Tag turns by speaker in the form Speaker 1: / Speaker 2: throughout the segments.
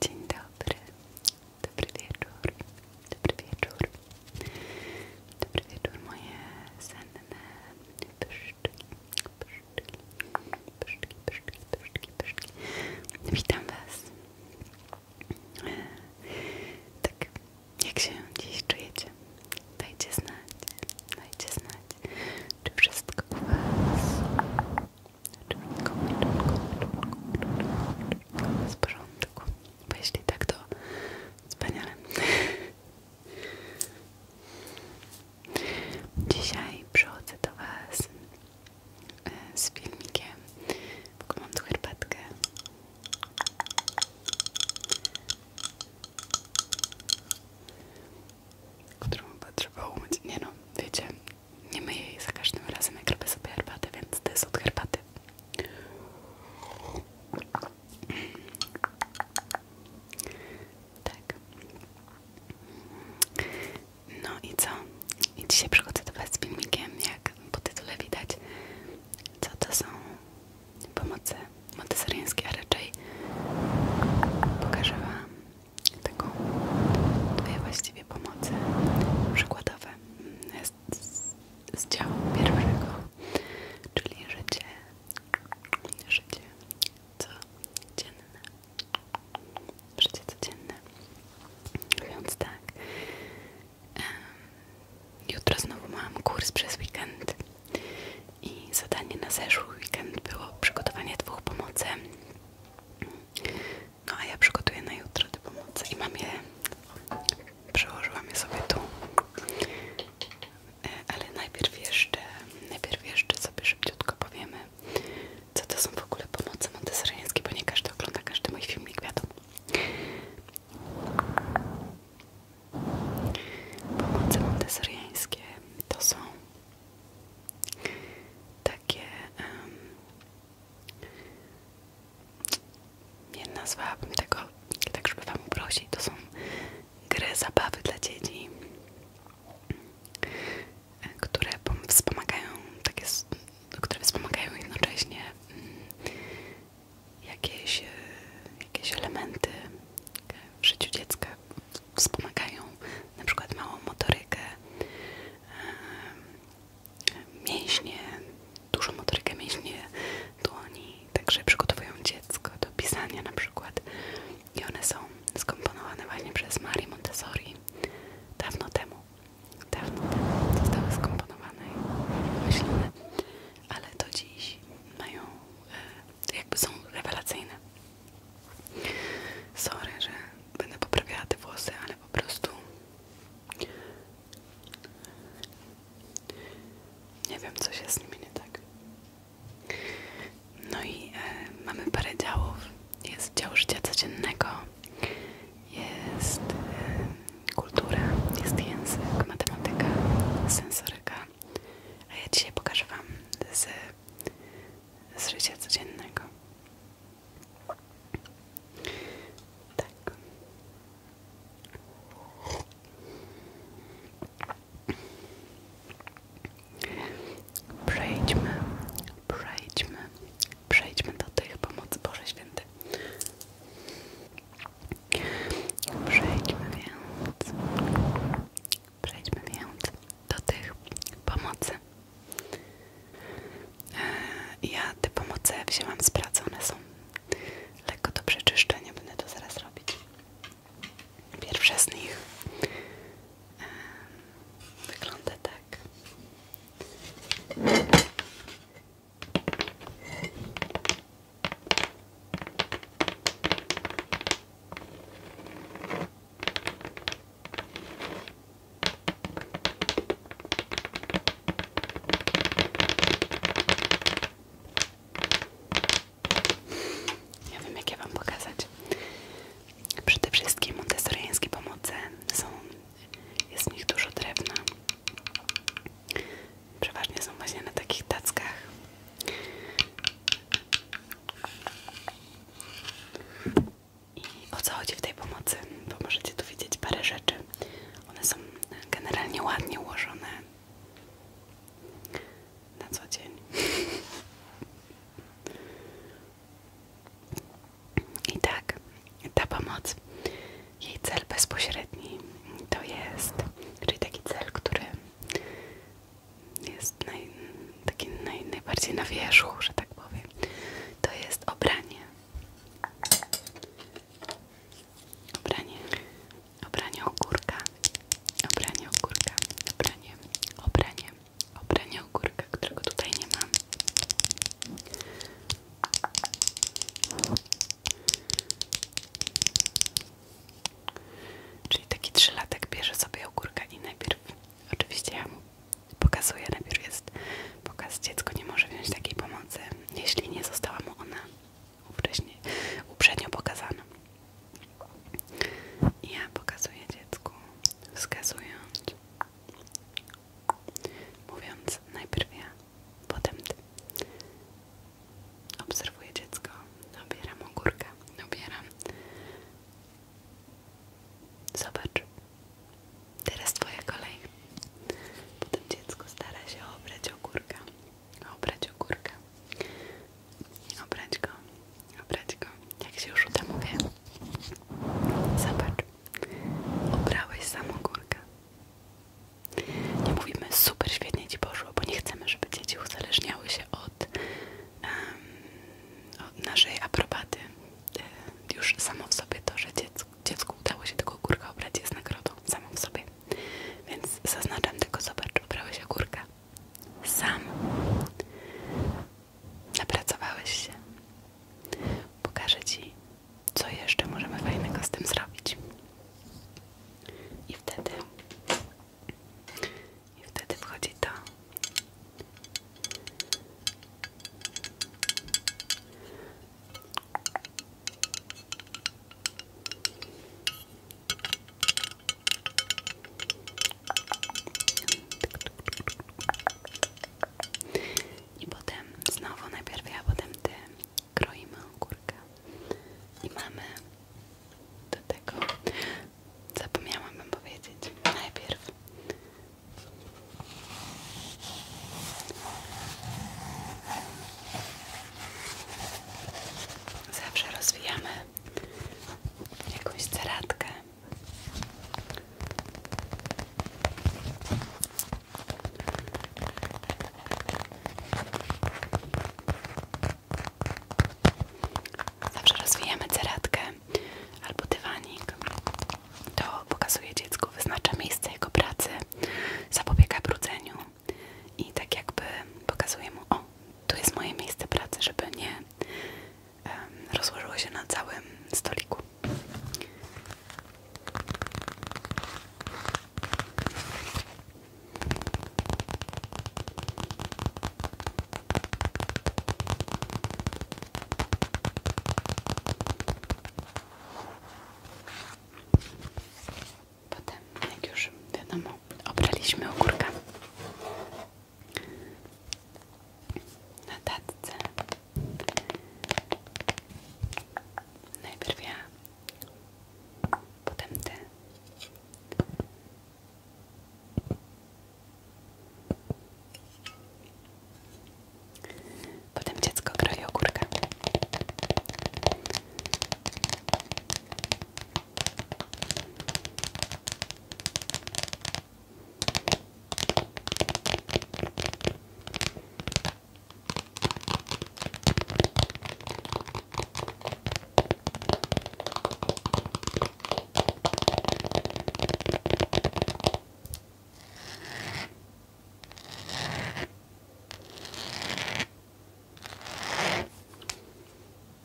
Speaker 1: Dzień dobry, dobry wieczór, dobry wieczór, dobry wieczór moje senne pyszczki, pyszczki, pyszczki, pyszczki, pyszczki, pyszczki. Witam Was. Tak, jak się dziś czujecie? Dajcie znać, dajcie znać. Czy wszystko u Was? Czy wszystko, w porządku? Bo jeśli tak, to wspaniale. Dzisiaj przychodzę do Was e, z filmikiem. W ogóle którą chyba trzeba umyć. Nie no, wiecie, nie myję jej za każdym razem jak robię sobie herbatę, więc to jest od herbaty. Tak. No i co? I dzisiaj przychodzę do Was z filmikiem, jak po tytule widać, co to są pomocy modyzeriańskie, a raczej pokażę Wam taką dwie właściwie pomocy przykładowe jest z, działu pierwszego, czyli życie, życie codzienne, życie codzienne, więc tak, jutro znowu mam kurs przez weekend i zadanie na zeszły weekend było przygotowanie dwóch pomocy no a ja przygotuję na jutro te pomocy i mam je przełożyłam je sobie tu e, ale najpierw jeszcze najpierw jeszcze sobie szybciutko powiemy co to są w ogóle pomoce montessoriańskie, bo nie każdy ogląda każdy mój filmik, wiadomo Pomoce montessoriańskie to są takie um, nie nazwałabym tego tak, żeby wam uprosić, to są gry, zabawy dla dzieci które wspomagają takie, które wspomagają jednocześnie mm, jakieś, e, jakieś elementy w życiu dziecka wspomagają na przykład małą motorykę, mięśnie, dużą motorykę mięśnie dłoni, także przygotowują dziecko do pisania na przykład i one są skomponowane właśnie przez Marii Montessori dawno temu, dawno temu zostały skomponowane i myślane, ale do dziś mają e, jakby są rewelacyjne. Sorry, że będę poprawiała te włosy, ale po prostu nie wiem, co się z nimi nie tak. No i e, mamy parę działów. Jest dział życia codziennego, jest e, kultura, jest język, matematyka, sensoryka. A ja dzisiaj pokażę Wam z z życia Tak. Przejdźmy, przejdźmy, przejdźmy do tych pomocy Boże Święty. Przejdźmy więc Przejdźmy więc do tych pomocy. E, ja te pomocy wzięłam z są lekko do przeczyszczenia, będę to zaraz robić. Pierwsza z nich e, wygląda tak. Ja wiem, jak Wam pokazać. Przede wszystkim montessoriańskie pomoce są, jest w nich dużo drewna. Przeważnie są właśnie na takich tackach. I o co chodzi w tej pomocy? Bo możecie tu widzieć parę rzeczy. One są generalnie ładnie ułożone na co dzień. I tak, ta pomoc, jej cel bezpośredni to jest, czyli taki cel, który jest taki najbardziej na wierzchu, że tak powiem, to jest obranie. Obranie. Obranie ogórka. Obranie ogórka. Obranie. Obranie. Obranie ogórka, którego tutaj nie mam. Czyli taki trzylatek bierze sobie ogórka i najpierw, oczywiście ja mu pokazuję, najpierw jest pokaz, dziecko nie może wziąć takiej pomocy, jeśli nie została mu ona wcześniej, uprzednio pokazana. I ja pokazuję dziecku, wskazując, mówiąc najpierw ja, potem ty. Obserwuję dziecko, dobieram ogórka, dobieram Zobacz. Teraz twoja kolej. Potem dziecko stara się obrać ogórka. Obrać ogórka. Obrać go. Obrać go. Jak się już uda mówię. Zobacz. Obrałeś sam ogórka. Nie mówimy super świetnie ci poszło, bo nie chcemy, żeby dzieci uzależniały się od od, naszej aprobaty. E, już samo w sobie to, że dziecku, udało się tego kurka obrać jest nagrodą. Samo w sobie. Więc zaznaczam tylko, zobacz, obrałeś ogórka. Sam. Napracowałeś się. Pokażę Ci, co jeszcze możemy fajnego z tym zrobić. I wtedy i wtedy wchodzi to. I potem znowu na ja, potem ty kroimy ogórkę i mamy do tego Zapomniałam wam powiedzieć. Najpierw zawsze rozwijamy jakąś ceratkę. Zawsze rozwijamy ceratkę albo dywanik. To pokazuje dziecku, wyznacza miejsce jego pracy, zapobiega brudzeniu i tak jakby pokazuje mu, o, tu jest moje miejsce pracy, żeby nie rozłożyło się na całym stoliku. Potem, jak już wiadomo, obraliśmy ogórka na tatce. Najpierw ja, potem ty, Potem dziecko kroi ogórkę.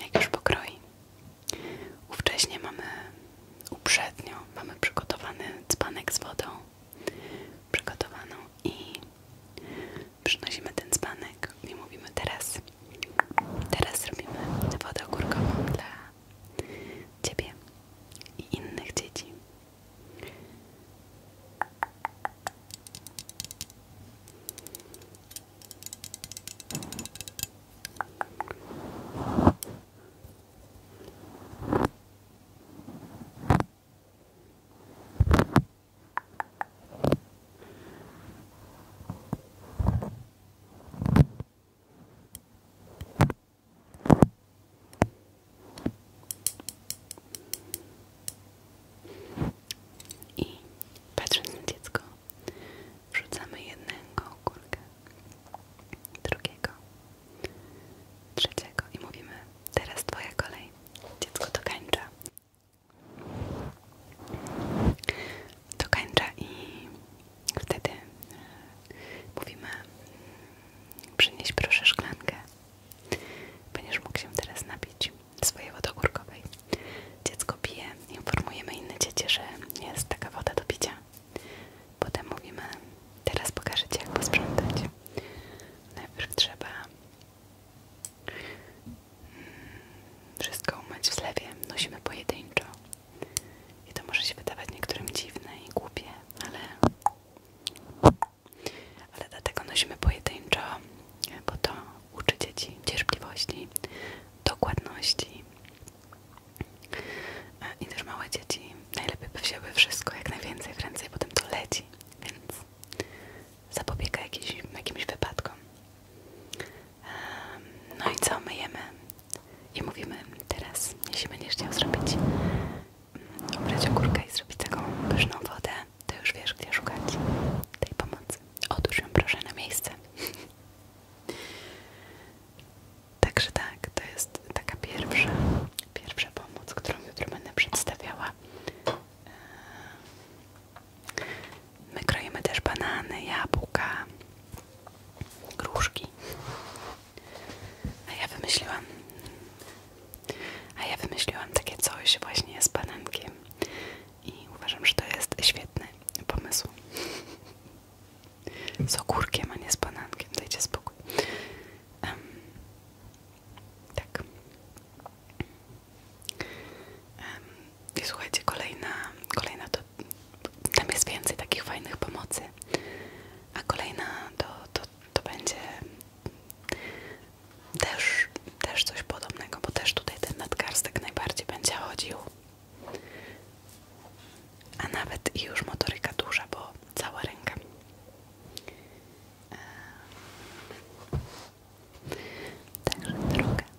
Speaker 1: Jak już pokroi. wcześniej mamy uprzednio, mamy przygotowany dzbanek z wodą przygotowaną i przynosimy ten dzbanek i mówimy teraz Teraz zrobimy wodę dla Ciebie i innych dzieci. I patrząc na dziecko, wrzucamy jednego ogórka, drugiego, trzeciego i mówimy, teraz twoja kolej. Dziecko dokańcza dokańcza i wtedy e, mówimy mm, przynieś proszę szklankę ponieważ mógł się teraz napić swojej wody ogórkowej dziecko pije, informujemy inne dzieci, że jest taka woda do picia potem mówimy teraz pokażę Ci jak sprzątać. najpierw trzeba wszystko umyć w zlewie, nosimy pojedynczo i to może się wydawać niektórym dziwne i głupie, ale ale dlatego nosimy pojedynczo, bo to uczy dzieci cierpliwości, dokładności e, i też małe dzieci najlepiej by wzięły wszystko, jak najwięcej w ręce i potem to leci, więc zapobiega jakimś, jakimś wypadkom no i co, myjemy i mówimy teraz, jeśli będziesz chciał zrobić, mm, ubrać ogórkę i zrobić taką pyszną wodę, to już wiesz, gdzie szukać tej pomocy. Otóż ją proszę na miejsce. Także tak, to jest taka pierwsza, pierwsza pomoc, którą jutro będę przedstawiała. My kroimy też banany, jabłka, gruszki. A ja wymyśliłam, a ja wymyśliłam takie coś właśnie z banankiem i uważam, że to jest świetny pomysł. Z ogórkiem, a nie z banankiem. Dajcie spokój. Um, tak. Um, i słuchajcie, kolejna, kolejna to tam jest więcej takich fajnych pomocy, a kolejna to, to, to będzie też, też coś podobnego, bo też tutaj ten nadgarstek najbardziej będzie chodził. A nawet i już motoryka duża, bo cała ręka. Eee. Także drogę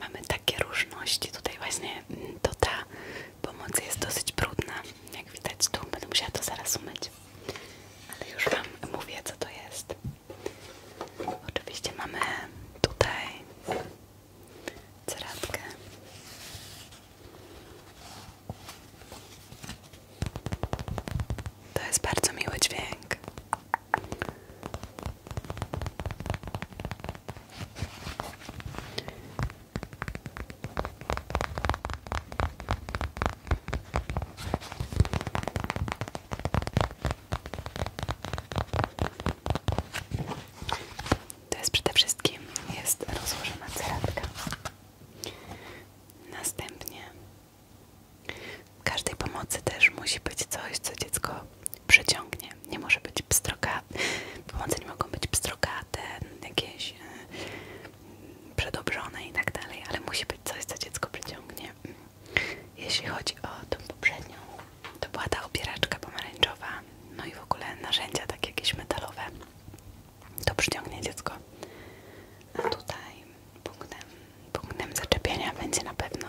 Speaker 1: Mamy takie różności, tutaj właśnie mm, to ta pomoc jest dosyć brudna, jak widać tu, będę musiała to zaraz umyć ale już Wam mówię, co to jest. Oczywiście mamy tutaj ceratkę. To jest bardzo miły dźwięk. To jest przede wszystkim jest rozłożona ceratka. Następnie w każdej pomocy też musi być coś, co dziecko przyciągnie. Nie może być pstroka, pomocy nie mogą być pstrokate, jakieś e, przedobrzone i tak dalej, ale musi być coś, co dziecko przyciągnie. Jeśli chodzi o tą poprzednią, to była ta opieraczka pomarańczowa, no i w ogóle narzędzia takie jakieś metalowe, to przyciągnie dziecko. A tutaj punktem, punktem zaczepienia będzie na pewno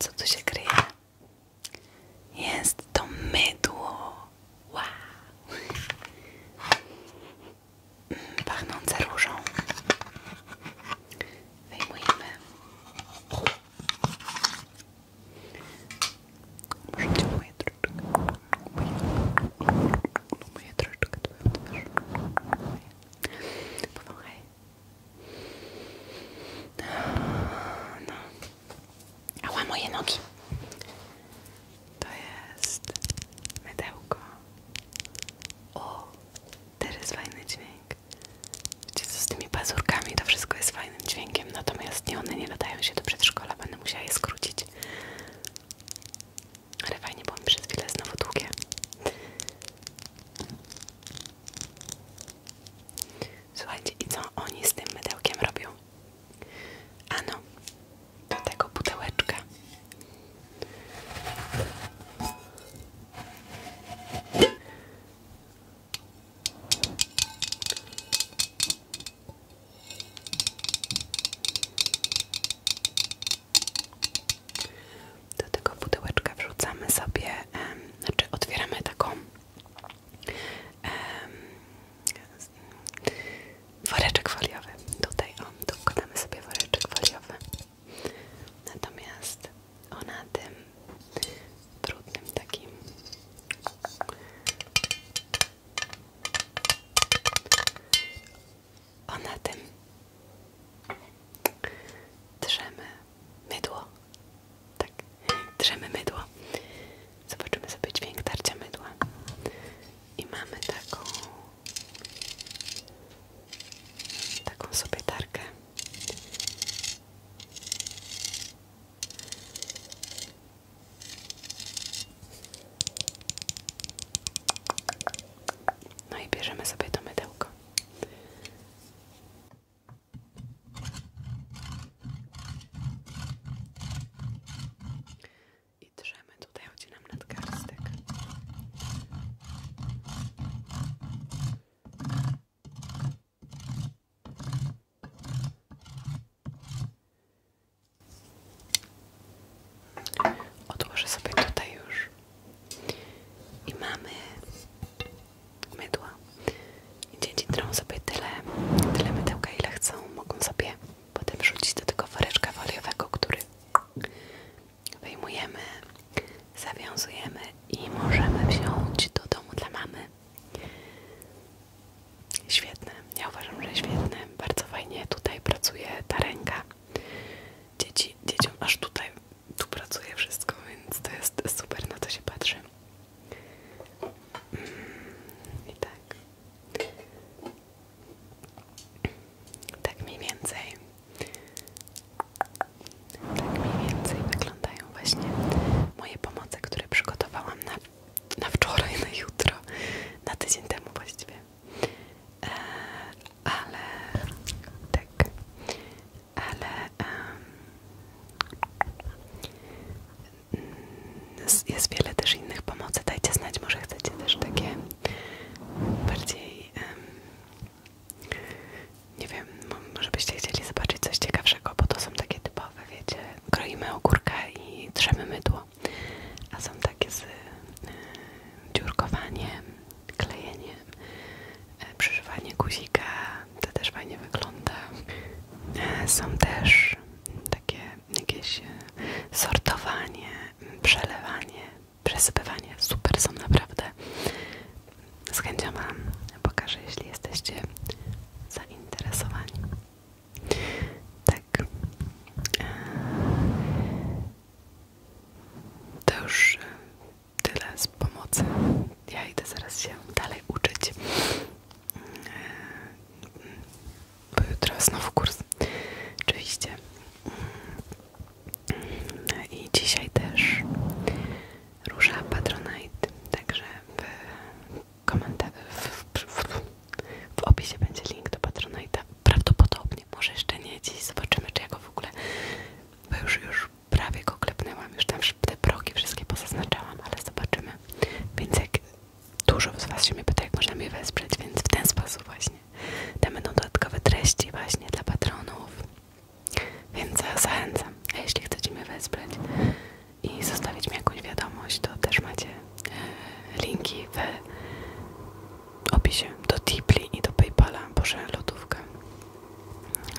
Speaker 1: Co tu się kryje? Jest to mydło. Wow. Mm, pachnące różą wyjmujemy. Możecie moje troszeczkę, moje, moje troszeczkę twoją twarz. No. nogi. To jest mydełko o, teraz fajny dźwięk. Wiecie co, z tymi pazurkami to wszystko jest fajnym dźwiękiem, natomiast nie, one nie nadają się do przedszkola, będę musiała je skrócić. Ale fajnie, bo mi przez chwilę znowu długie. Słuchajcie, i co oni z tym mydełkiem robią? Ano, do tego pudełeczka do tego pudełeczka wrzucamy sobie, e, znaczy otwieramy taką woreczek foliowy. Tutaj, o, tu sobie woreczek foliowy. Natomiast ona tym trudnym takim ona tym drzemy mydło tak, drzemy mydło zobaczymy sobie dźwięk tarcia mydła i mamy taką taką sobie tarkę. No i bierzemy sobie to mydełko. I drzemy, tutaj chodzi nam nadgarstek. Odłożę sobie tutaj już i mamy mydła. Dzieci drą sobie tyle, tyle mydełka ile chcą, mogą sobie potem wrzucić do tego woreczka foliowego, który wyjmujemy, zawiązujemy i możemy wziąć do domu dla mamy. Świetne, ja uważam, że świetne. Bardzo fajnie tutaj pracuje ta ręka. Dzieci, dzieciom aż tutaj, tu pracuje wszystko, więc to jest super, na to się patrzy. Mm, I tak. Tak mniej więcej tak mniej więcej wyglądają właśnie moje pomoce, które przygotowałam na, na wczoraj, na jutro, na tydzień temu właściwie. E, ale tak, ale jest wiele też innych pomocy. Dajcie znać, może chcecie też takie bardziej um, nie wiem, może byście chcieli zobaczyć coś ciekawszego, bo to są takie typowe, wiecie, kroimy ogórka i trzemy mydło, a są takie z y, dziurkowaniem, klejeniem, y, guzika, to też fajnie wygląda. E, są też takie jakieś sortowanie, przelewanie przesypywanie. Super są naprawdę. Z chęcią Wam pokażę, jeśli jesteście zainteresowani. Tak. To już e, tyle z pomocy. Ja idę zaraz się dalej uczyć. E, bo jutro znowu kurs. Oczywiście. No i dzisiaj też róża Patronite, także w, w, w, opisie będzie link do Patronite'a, prawdopodobnie, może jeszcze nie dziś, zobaczymy czy ja go w ogóle, bo już, już prawie go klepnęłam, już tam te progi wszystkie pozaznaczałam, ale zobaczymy, więc jak dużo z Was się mnie pyta, jak można mnie wesprzeć, więc w ten sposób właśnie, tam będą dodatkowe treści właśnie dla patronów więc zachęcam. jeśli chcecie mnie wesprzeć i zostawić mi jakąś wiadomość, to też macie e, linki w opisie do Tipli i do Paypala, Boże lodówka.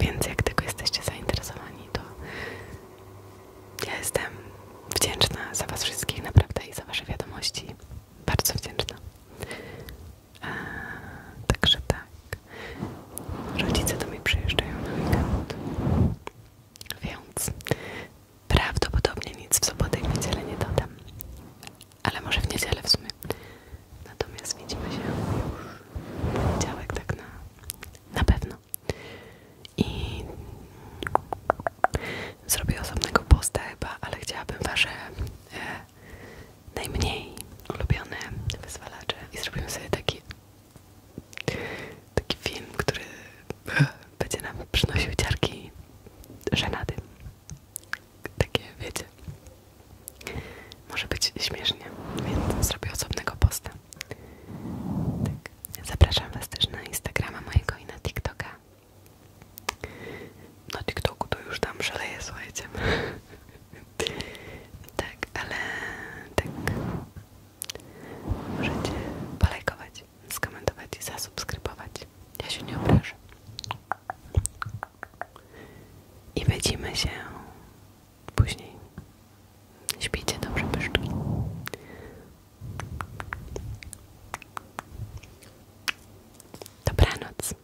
Speaker 1: Więc jak tylko jesteście zainteresowani, to ja jestem wdzięczna za Was wszystkich naprawdę i za Wasze wiadomości. Bardzo wdzięczna. Także tak. Rodzice do mnie przyjeżdżają na weekend. Więc prawdopodobnie nic w sobotę i niedzielę nie dodam. Ale może w niedzielę w sumie. Natomiast widzimy się już w poniedziałek, tak na, na pewno. I zrobię osobnego posta chyba, ale chciałabym Wasze e, najmniej ulubione wyzwalacze i zrobimy sobie taki taki film, który będzie nam przynosił ciarki żenady. Takie, wiecie, może być śmiesznie, więc zrobię osobnego posta. Tak. Zapraszam Was też na Instagrama mojego i na TikToka. Na TikToku to już tam szaleje, słuchajcie. Tak, ale tak możecie polajkować, skomentować i zasubskrybować. Ja się nie obrażę. I widzimy się później. Śpijcie dobrze, pyszczki. Dobranoc.